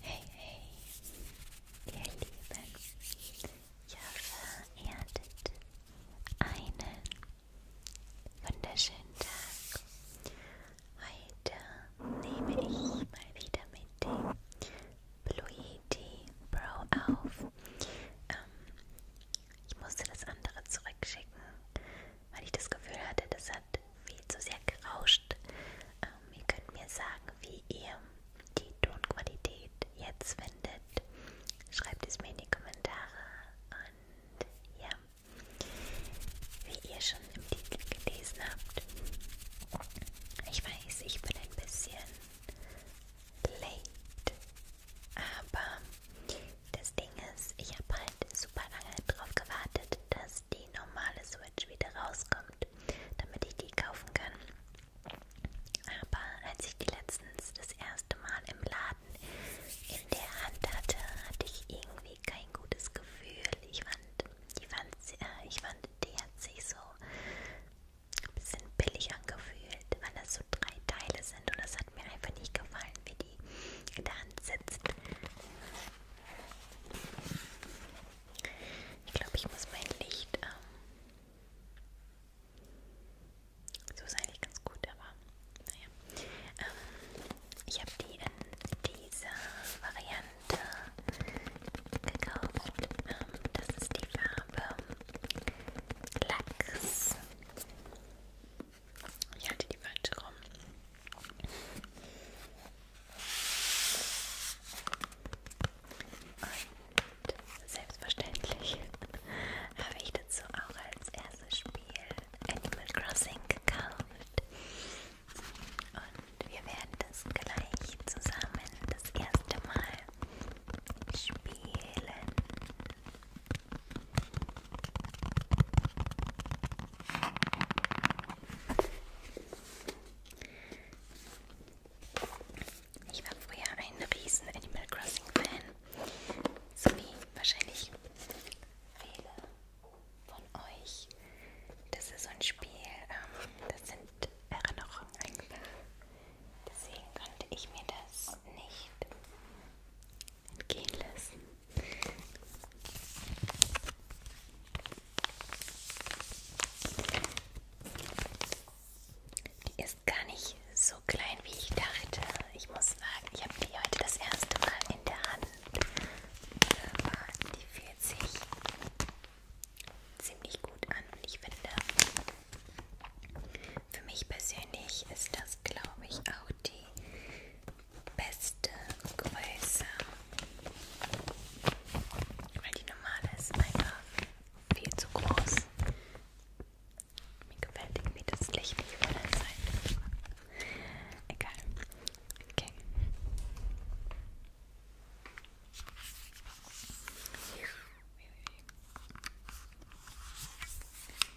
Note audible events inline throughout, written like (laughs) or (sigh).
Hey, hey, ihr Lieben, ich hoffe, ihr hattet einen wunderschönen Tag. Heute nehme ich mal wieder mit dem Blueity Pro auf. Ähm, ich musste das andere zurückschicken, weil ich das Gefühl hatte, das hat viel zu sehr gerauscht. Ähm, ihr könnt mir sagen, wie ihr die Tonqualität jetzt findet. Schreibt es mir in die Kommentare und ja, wie ihr schon im Titel gelesen habt. Ich weiß, ich bin ein bisschen late, aber das Ding ist, ich habe halt super lange darauf gewartet, dass die normale Switch wieder rauskommt, damit ich die kaufen kann. Aber als ich die letztens das erste Mal im Laden in der Hand hatte, hatte ich irgendwie kein gutes Gefühl. Ich fand, ich fand, äh, ich fand die hat sich so ein bisschen billig angefühlt, weil das so drei Teile sind und das hat mir einfach nicht gefallen, wie die in der Hand sitzt. Ich glaube, ich muss mein Licht. Ähm, so ist eigentlich ganz gut, aber naja. Ähm, ich habe die in dieser Variante gekauft. Ähm, das ist die Farbe Lachs. Ich hatte die falsche rum. Und selbstverständlich (laughs) habe ich dazu auch als erstes Spiel Animal Crossing gekauft. Und wir werden das gleich zusammen das erste Mal spielen. Ich war früher ein riesen Animal Crossing Fan, so wie wahrscheinlich viele von euch. Das ist so ein Spiel, ähm, das sind Erinnerungen einfach. Deswegen konnte ich mir das nicht entgehen lassen. Die ist gar nicht so klein, wie ich dachte. Ich muss sagen, ich habe die heute das erste Mal in der Hand. Da waren die 40 ziemlich gut an und ich finde, für mich persönlich ist das, glaube ich, auch die beste Größe. Weil die normale ist einfach viel zu groß. Mir gefällt irgendwie das Licht nicht von der Seite. Egal. Okay.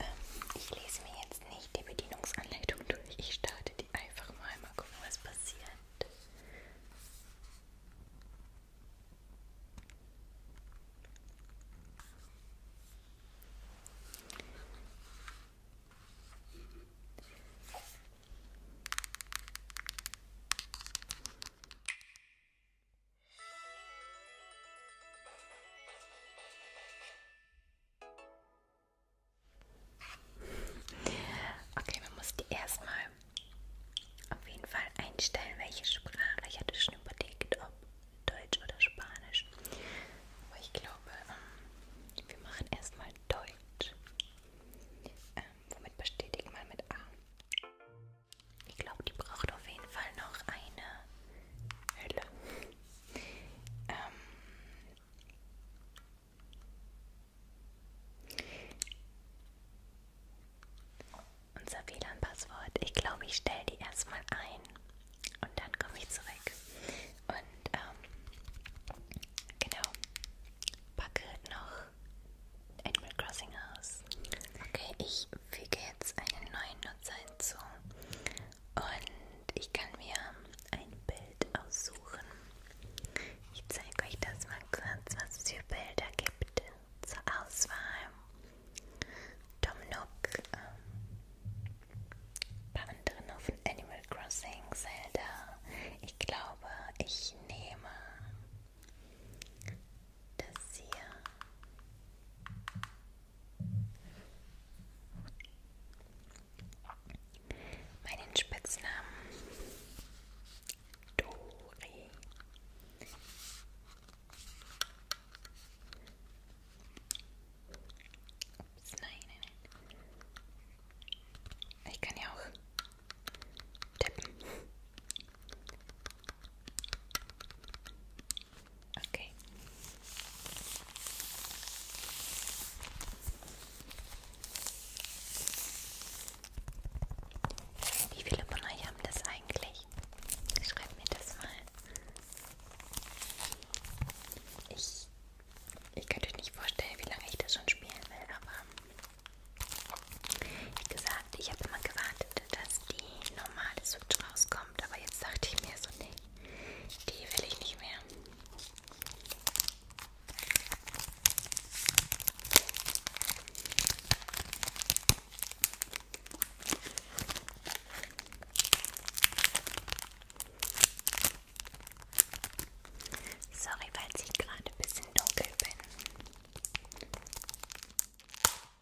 Ähm, ich lese mir jetzt nicht die Bedienungsanleitung durch. Ich starte die einfach mal. Mal gucken, was passiert. Okay, man muss die erstmal auf jeden Fall einstellen, welche Sprache. Ich hatte schon überlegt, ob Deutsch oder Spanisch. Aber ich glaube, ähm, wir machen erstmal Deutsch. Ähm, womit bestätigt man mit A? Ich glaube, die braucht auf jeden Fall noch eine Hülle. ähm Unser WLAN-Passwort. Ich glaube, ich stelle die erstmal ein und dann komme ich zurück. Und ähm, genau, packe noch Animal Crossing aus. Okay, ich füge jetzt einen neuen Nutzer hinzu und ich kann mir ein Bild aussuchen. Ich zeige euch das mal kurz, was es für Bilder gibt zur Auswahl. Tom Nook, ähm, paar andere von Animal Crossing, Zelda. Ich glaube, ich nehme das hier. Meinen Spitznamen Dori. Ups, nein, nein, nein. Ich kann ja auch tippen. Okay. Wie viele von euch haben das eigentlich? Schreibt mir das mal. Ich, ich könnte euch nicht vorstellen, wie lange ich das schon spielen will, aber wie gesagt, ich habe immer gewartet, dass die normale Switch rauskommt, aber jetzt dachte ich mir so, nee, die will ich nicht mehr. Sorry, weil ich gerade ein bisschen dunkel bin.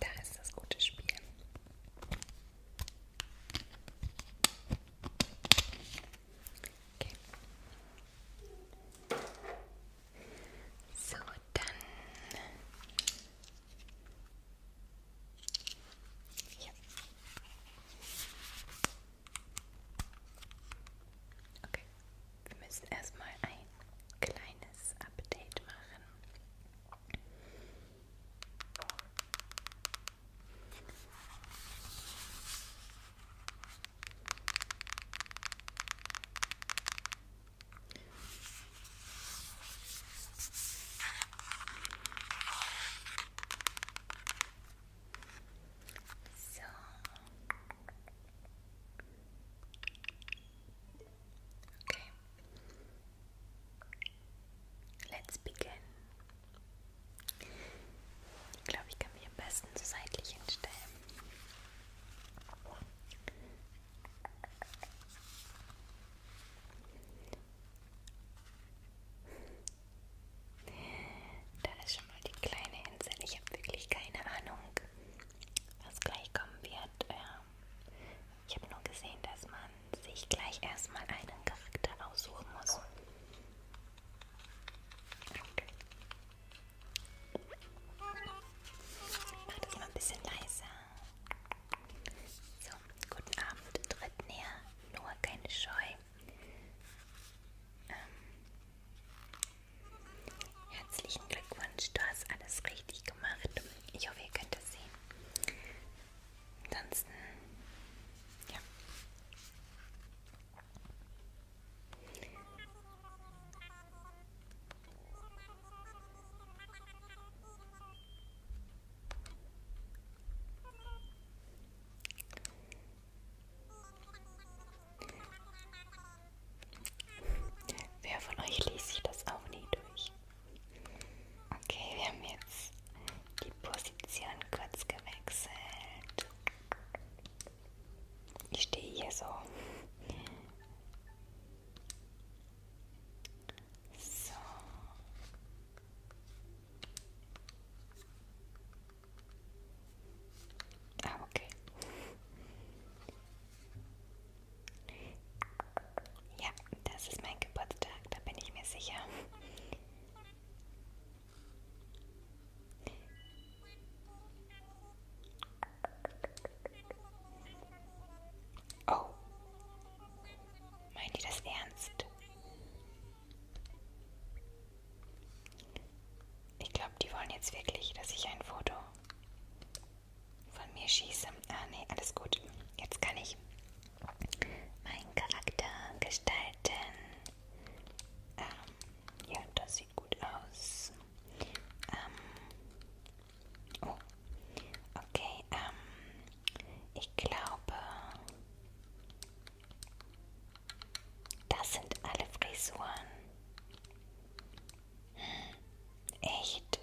Da ist das gute Spiel. Okay. So, dann ja. Okay. Wir müssen erstmal ein kleines Update machen. So. Okay. Let's begin. Ich glaube, ich kann mich am besten so seitlich hinstellen. Da ist schon mal die kleine Insel. Ich habe wirklich keine Ahnung, was gleich kommen wird. Äh, ich habe nur gesehen, dass man sich gleich erstmal einen Charakter aussuchen muss. Okay. Ich mache das mal ein bisschen leiser. So, guten Abend, tritt näher, nur keine Scheu. Ähm, Herzlichen Glückwunsch, du hast alles richtig gemacht. Ich hoffe, ihr könnt es sehen. Ansonsten, ja. Wer von euch liest sich das auch nie durch? Okay, wir haben jetzt die Position kurz gewechselt. Ich stehe hier so. So. Ah, okay. Ja, das ist mein Geburtstag, da bin ich mir sicher. Oh. Meint ihr das ernst? Ich glaube, die wollen jetzt wirklich, dass ich ein Foto von mir schieße. Ah, nee, alles gut. Jetzt kann ich meinen Charakter gestalten. Ähm, ja, das sieht gut aus. Ähm, oh, okay. Ähm, ich glaube, das sind alle Frisuren. Hm, echt?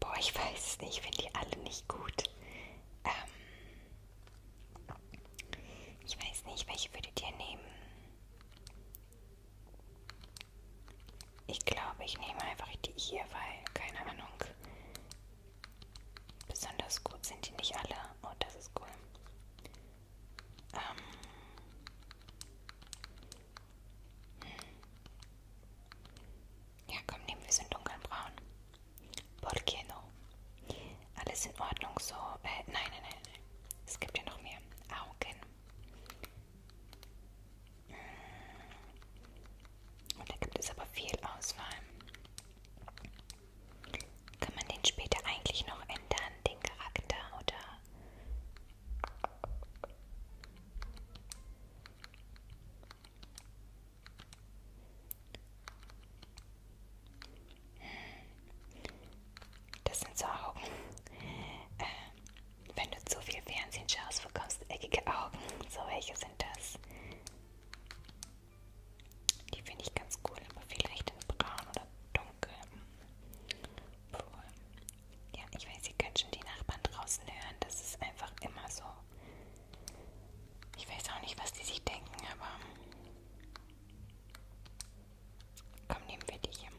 Boah, ich weiß es nicht, ich finde die alle nicht gut. Ähm, ich weiß nicht, welche würdet ihr nehmen? Ich glaube, ich nehme einfach die hier, weil, keine Ahnung. Besonders gut sind die nicht alle. Oh, das ist cool. Ähm. Hm. Ja, komm, nehmen wir es in dunkelbraun. Porque no? Alles in Ordnung so. Äh, nein, nein, nein, nein. Es gibt ja noch mehr. Augen. Hm. Und da gibt es aber viel Auswahl. Kann man den später eigentlich noch ändern, den Charakter, oder? Hm. Das sind so Augen. Äh, wenn du zu viel Fernsehen schaust, bekommst du eckige Augen. So welche sind das? Die finde ich ganz cool, aber vielleicht in braun oder dunkel. Cool. Ja, ich weiß, ihr könnt schon die Nachbarn draußen hören. Das ist einfach immer so. Ich weiß auch nicht, was die sich denken, aber... Komm, nehmen wir die hier.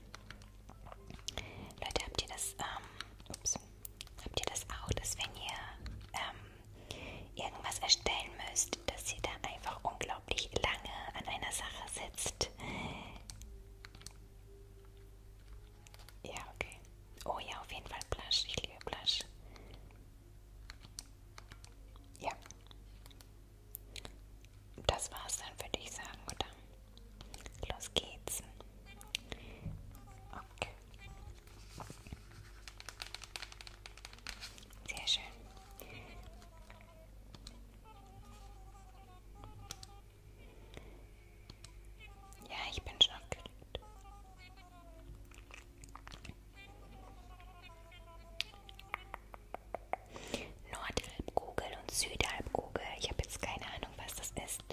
Leute, habt ihr das, ähm, ups, habt ihr das auch, dass wenn ihr, ähm, irgendwas erstellen müsst, dass ihr da einfach unglaublich lange an einer Sache sitzt. Ja, okay. Oh ja, auf jeden Fall Blush. Ich liebe Blush. Ja. Das war's dann, würde ich sagen, oder? Los geht's. Okay. Sehr schön. Ja, ich bin schon aufgeregt. Nordhalbkugel und Südhalbkugel. Ich habe jetzt keine Ahnung, was das ist.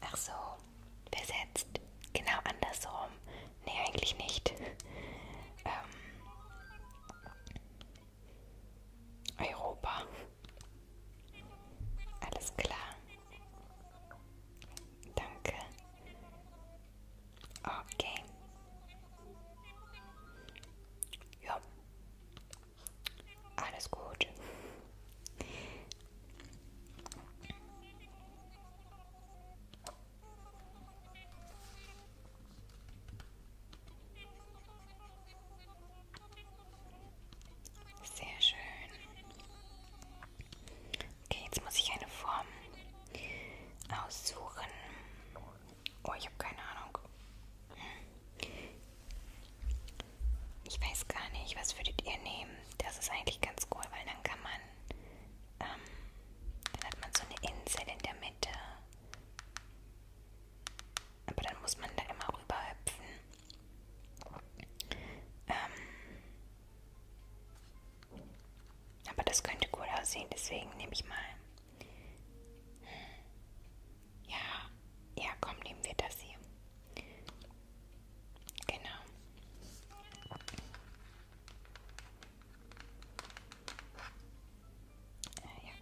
Ach so, versetzt. Genau andersrum. Nee, eigentlich nicht. (laughs) ähm, Europa. Alles klar. Danke. Okay. Ja. Alles gut. Sehr schön. Okay, jetzt muss ich eine Form aussuchen. Oh, ich habe keine Ahnung. Ich weiß gar nicht, was würdet ihr nehmen? Das ist eigentlich ganz cool, weil dann kann man dann, ähm, dann hat man so eine Insel in der Mitte. Aber dann muss man da immer rüberhüpfen. Ähm, aber das könnte cool aussehen, deswegen nehme ich mal. Hm. Ja, ja, komm, nehmen wir das hier. Genau. Äh, ja.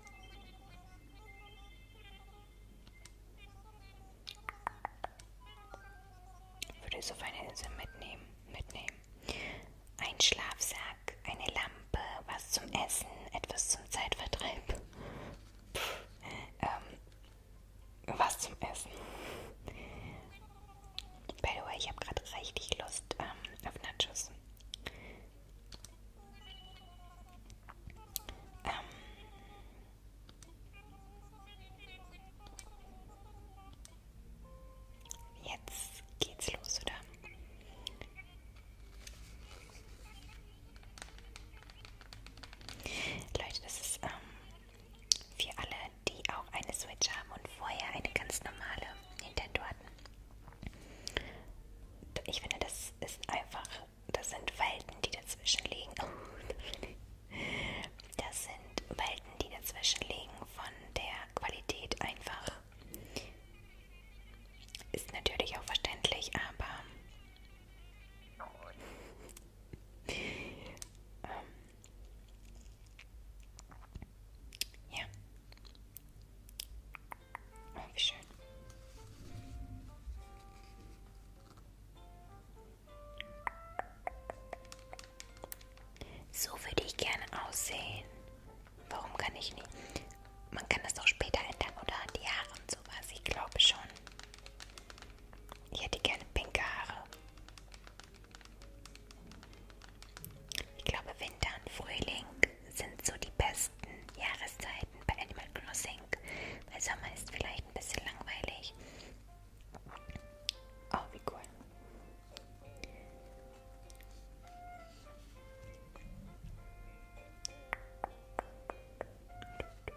Würde es auf eine Insel mitnehmen, mitnehmen. Ein Schlafsack, eine Lampe, was zum Essen, etwas zum Zeitvertreib. Puh, ähm, was zum Essen. By the way, ich habe gerade richtig Lust ähm, auf Nachos. Ähm, jetzt geht's los, oder? Leute, das ist ähm, für alle, die auch eine Switch haben und vorher eine ganz normale Nintendo hatten. Ich finde, das ist einfach, das sind Welten, die dazwischen liegen. (laughs) Das sind Welten, die dazwischen liegen von der Qualität einfach. Ist natürlich auch verständlich, aber ähm, ja. Oh, wie schön. So würde ich gerne aussehen. Warum kann ich nicht? Man kann das auch später ändern oder die Haare und sowas. Ich glaube schon. Ich hätte gerne pinke Haare. Ich glaube, Winter und Frühling sind so die besten Jahreszeiten bei Animal Crossing. Weil Sommer ist vielleicht ein bisschen langweilig. Oh, wie cool. Du,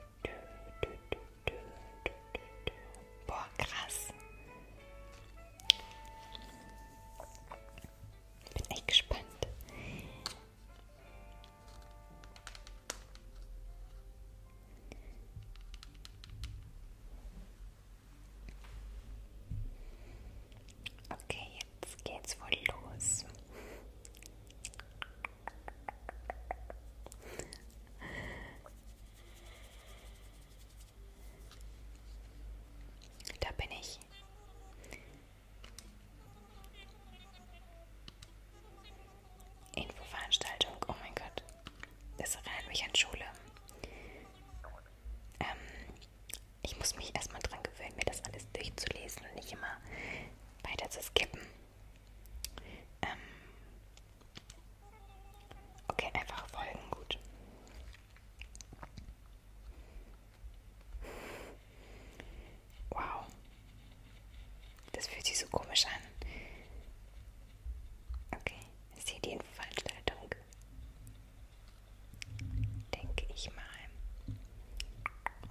Boah, krass. Bin echt gespannt. Okay, jetzt geht's wohl los. Da bin ich. Infoveranstaltung, oh mein Gott. Das erinnert mich an Schule. Ähm, ich muss mich erstmal dran gewöhnen, mir das alles durchzulesen und nicht immer weiter zu skippen. Ähm okay, einfach folgen, gut. Wow. Das fühlt sich so komisch an. Okay, ist hier die Infoveranstaltung? Denke ich mal.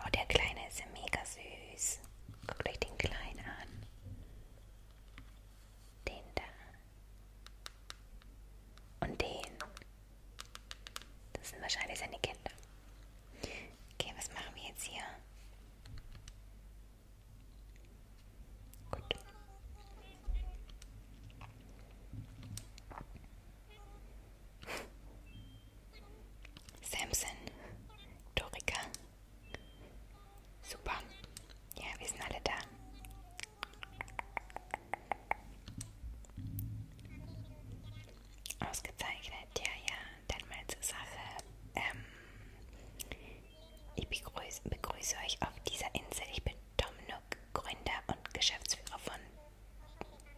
Oh, der Kleine ist ja mega süß. Guckt euch den kleinen an. Den da. Und den. Das sind wahrscheinlich seine Kinder. Okay, was machen wir jetzt hier? Gut. Samson, Dorika. Super. Ja, wir sind alle da. Ausgezeichnet, ja, ja. Dann mal zur Sache. Ähm, ich begrüße, begrüße euch auf dieser Insel. Ich bin Tom Nook, Gründer und Geschäftsführer von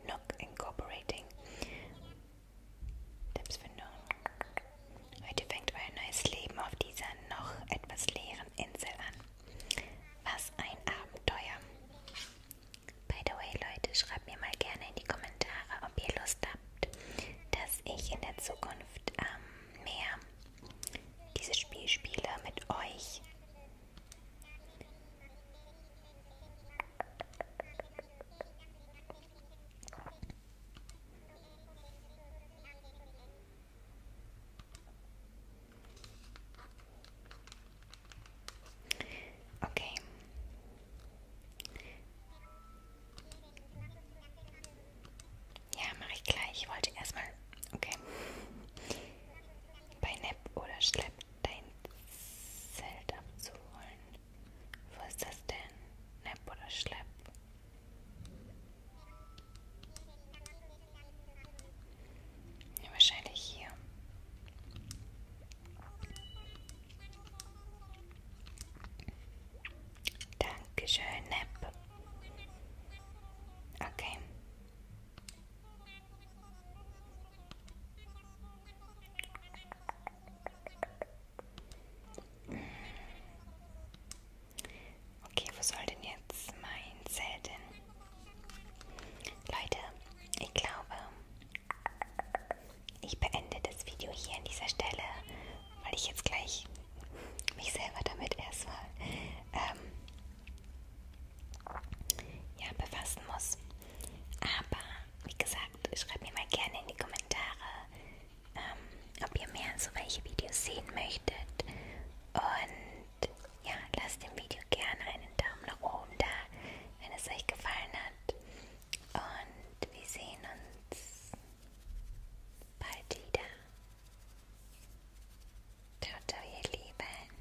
Nook Incorporating Tippsfindung. Heute fängt euer neues Leben auf dieser noch etwas leeren Insel an. Was ein Abenteuer. By the way, Leute, schreibt mir mal gerne in die Kommentare, ob ihr Lust habt, dass ich in der Zukunft ähm, mehr dieses Spiel spiele mit euch. Okay. Ja, mache ich gleich. Ich wollte erstmal. Okay. Bei Nap oder Schlepp dein Zelt abzuholen. Wo ist das denn? Nepp oder Schlepp? Ja, wahrscheinlich hier. Dankeschön, Nepp. Okay. Okay, wo soll denn jetzt mein Zelt hin? Leute, ich glaube, ich beende das Video hier an dieser Stelle, weil ich jetzt gleich mich selber damit erstmal ähm, ja, befassen muss. Aber wie gesagt, schreibt mir mal gerne in die Kommentare, ähm, ob ihr mehr so welche Videos sehen möchtet. Und ja, lasst dem Video gerne einen Daumen nach oben da, wenn es euch gefallen hat. Und wir sehen uns bald wieder. Ciao, ciao, ihr Lieben.